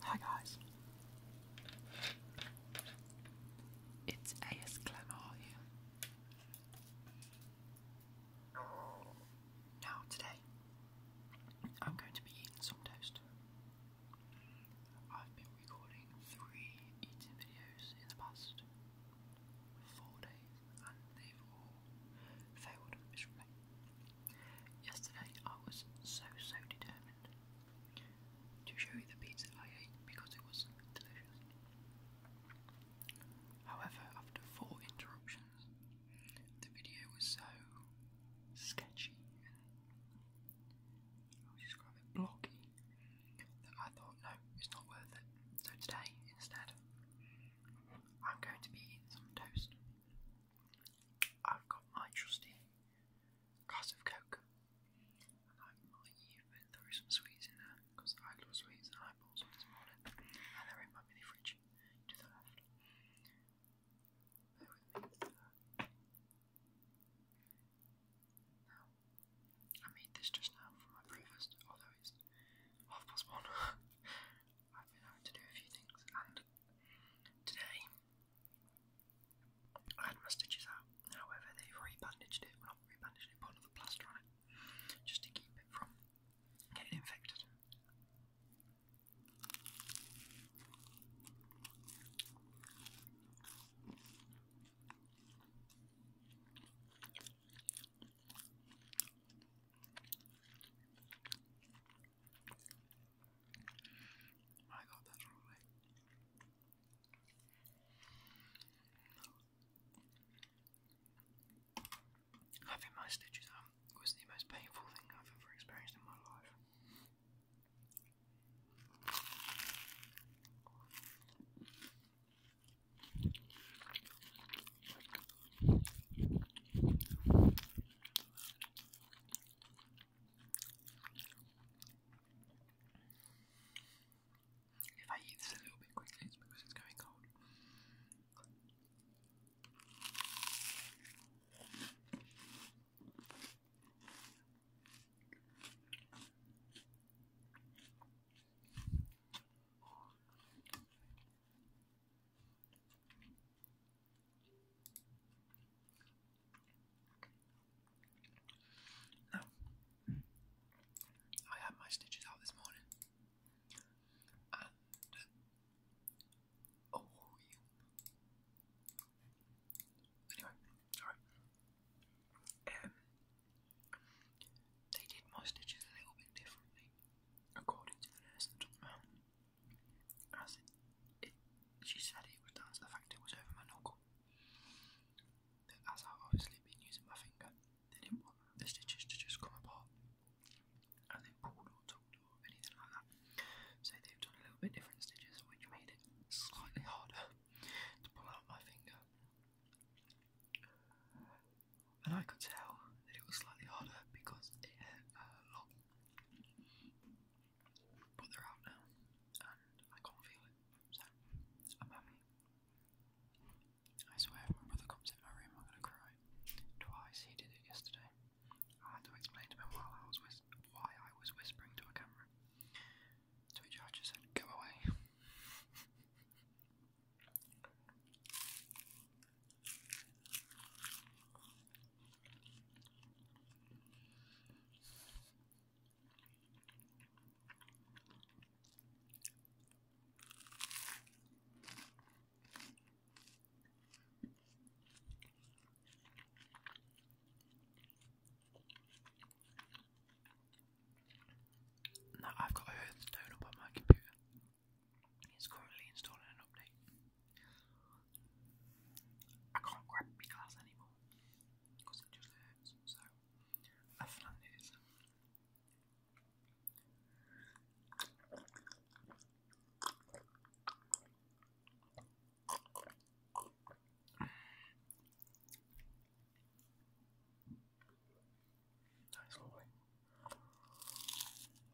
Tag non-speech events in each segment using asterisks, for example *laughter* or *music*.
Hi guys, it's AS Clemmer you? Now today, I'm going to be eating some toast. I've been recording three eating videos in the past four days, and they've all failed miserably. Yesterday I was so, so determined to show you the pizza I ate because it was delicious. However, after four interruptions, the video was so sketchy and I would describe it blocky that I thought, no, it's not worth it. So today, instead, I'm going to be eating some toast. I've got my trusty glass of Coke, and I might even throw some sweets in there because I love sweets and I this morning, and they're in my mini fridge to the left. Bear with me. Now, I made this just now for my breakfast, although it's half past one. *laughs* I've been having to do a few things, and today I had my stitches out. However, they've rebandaged it. Well, not rebandaged it, put another plaster on it, just to keep it from getting infected. My God, Having my stitches out was the most painful thing I've ever experienced in my life. If I eat this a little bit quickly, it's because it's going cold. Now, I had my stitches out this morning, and uh, oh, you. Anyway, sorry. Um, they did my stitches a little bit differently, according to the nurse that took them as it, she said it was down the fact it was over my knuckle. That as I've obviously been using my finger, they didn't want the stitches to just come apart as they pulled or tugged or anything like that. So they've done a little bit different stitches, which made it slightly harder *laughs* to pull out my finger. And I could tell that it was slightly harder because it had uh, a lock. But they're out now, and I can't feel it, so I'm happy. I swear, if my brother comes in my room, I'm gonna cry. Twice he did it yesterday. I had to explain to him while I was why I was whispering to a camera. To which just said, "Go away." *laughs* Now I've got a Hearthstone on my computer. It's currently installing an update. I can't grab my glass anymore because it just hurts. So That's lovely.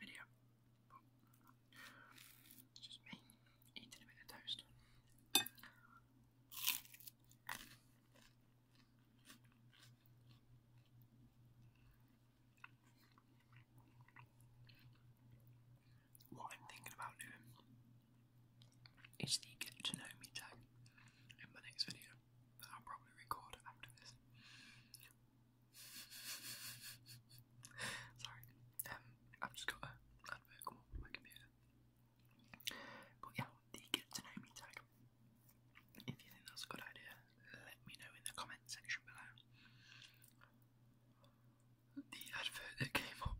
video. it's just me eating a bit of toast. What I'm thinking about doing is the get to know me tag in my next video that I'll probably record after this. *laughs* Sorry, um, I've just got a advert come up on my computer. But yeah, the get to know me tag. If you think that's a good idea, let me know in the comment section below. The advert that came up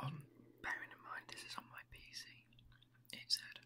on, bearing in mind this is on my PC, it said,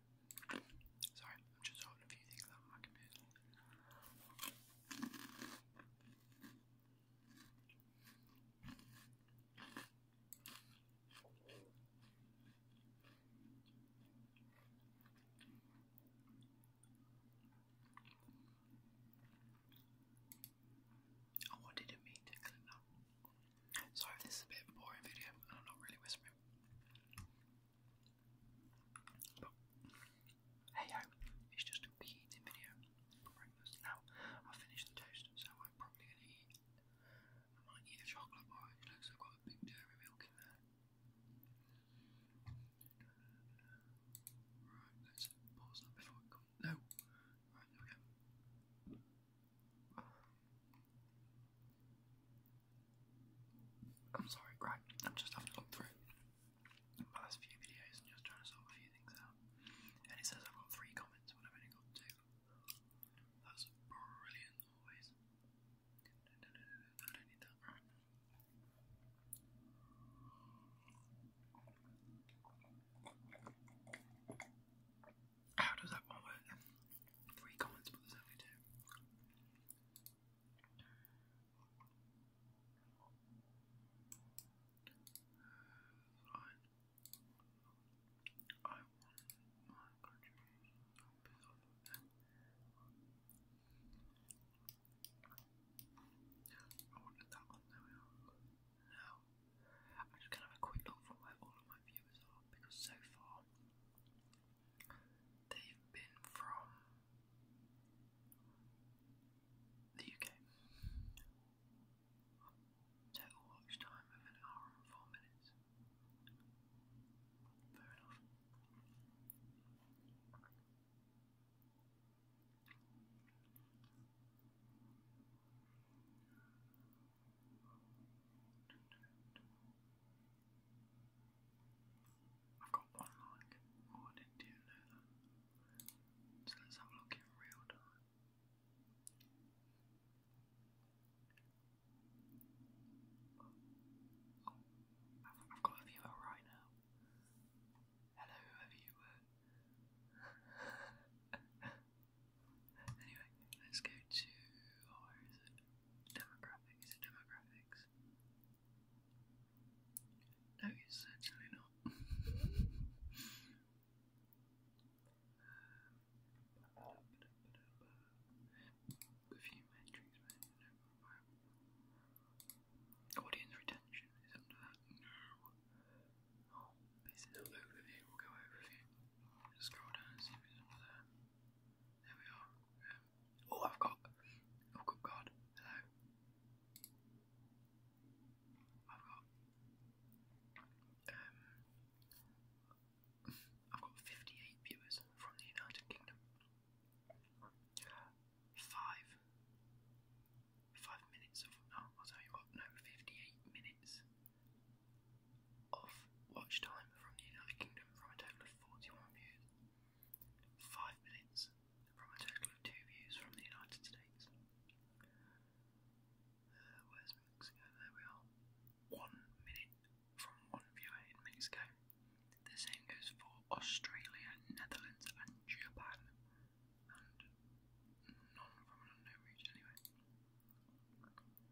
Sorry, I'm just holding a few things up on my computer. I wanted to mean Sorry this is a bit boring video and I'm not really whispering hey ho, it's just a wee eating video Now I've finished the toast, so I'm probably gonna eat I might eat a chocolate bar, it looks I've got a big dairy milk in there. Right, let's pause that before I come no. Right, there I'm sorry, right? I'm just having to look through my last few videos and just trying to sort a few things out. And he says I've got three comments when I've only got two. That's brilliant, always. I don't need that, How does that one work? Three comments, but only two. I want my contribution I wanted that one, there Now, i just going to have a quick look for where all of my viewers are because so far they've been from the UK. Total watch time of an hour and four minutes. Fair enough. I've got one like. Oh, I didn't know that. So let's have a look in real time. I've, got a viewer right now. Hello, whoever you were. anyway, let's go to. Oh, Demographic, is it demographics? No, it's certainly not. *laughs* Audience retention is under that. No. Oh, it's an overview. We'll go overview. Just scroll down and see if it's under there. There we are. Oh, I've got. Oh, good God. Hello. I've got. Um, I've got 58 viewers from the United Kingdom. Five. Five minutes of. Oh, I'll tell you what, no, 58 minutes of watch time from the United Kingdom from a total of 41 views, 5 minutes from a total of 2 views from the United States. Uh, where's Mexico? There we are. 1 minute from 1 viewer in Mexico. The same goes for Australia, Netherlands, and Japan. And none from unknown region, anyway.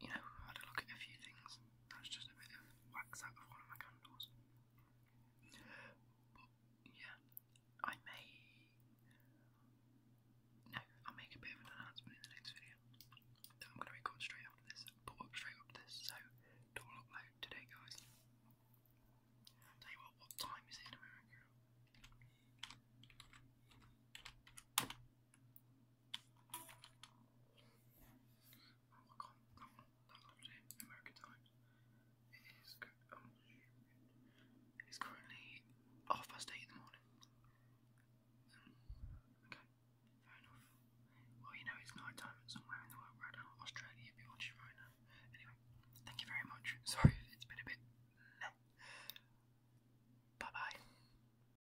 you know, I had a look at a few things. That's just a bit of wax out of one of my candles. But yeah, I may. No, I'll make a bit of an announcement in the next video I'm going to record straight after this, but up straight after this, so it upload today, guys. tell you what, what time is it in America? I'll American Times. It is, um, it's currently half past eight in the morning. okay, Well, you know, it's night time somewhere in the world right now. Australia, if you watch it right now. Anyway, thank you very much. Sorry, it's been a bit. Bye bye.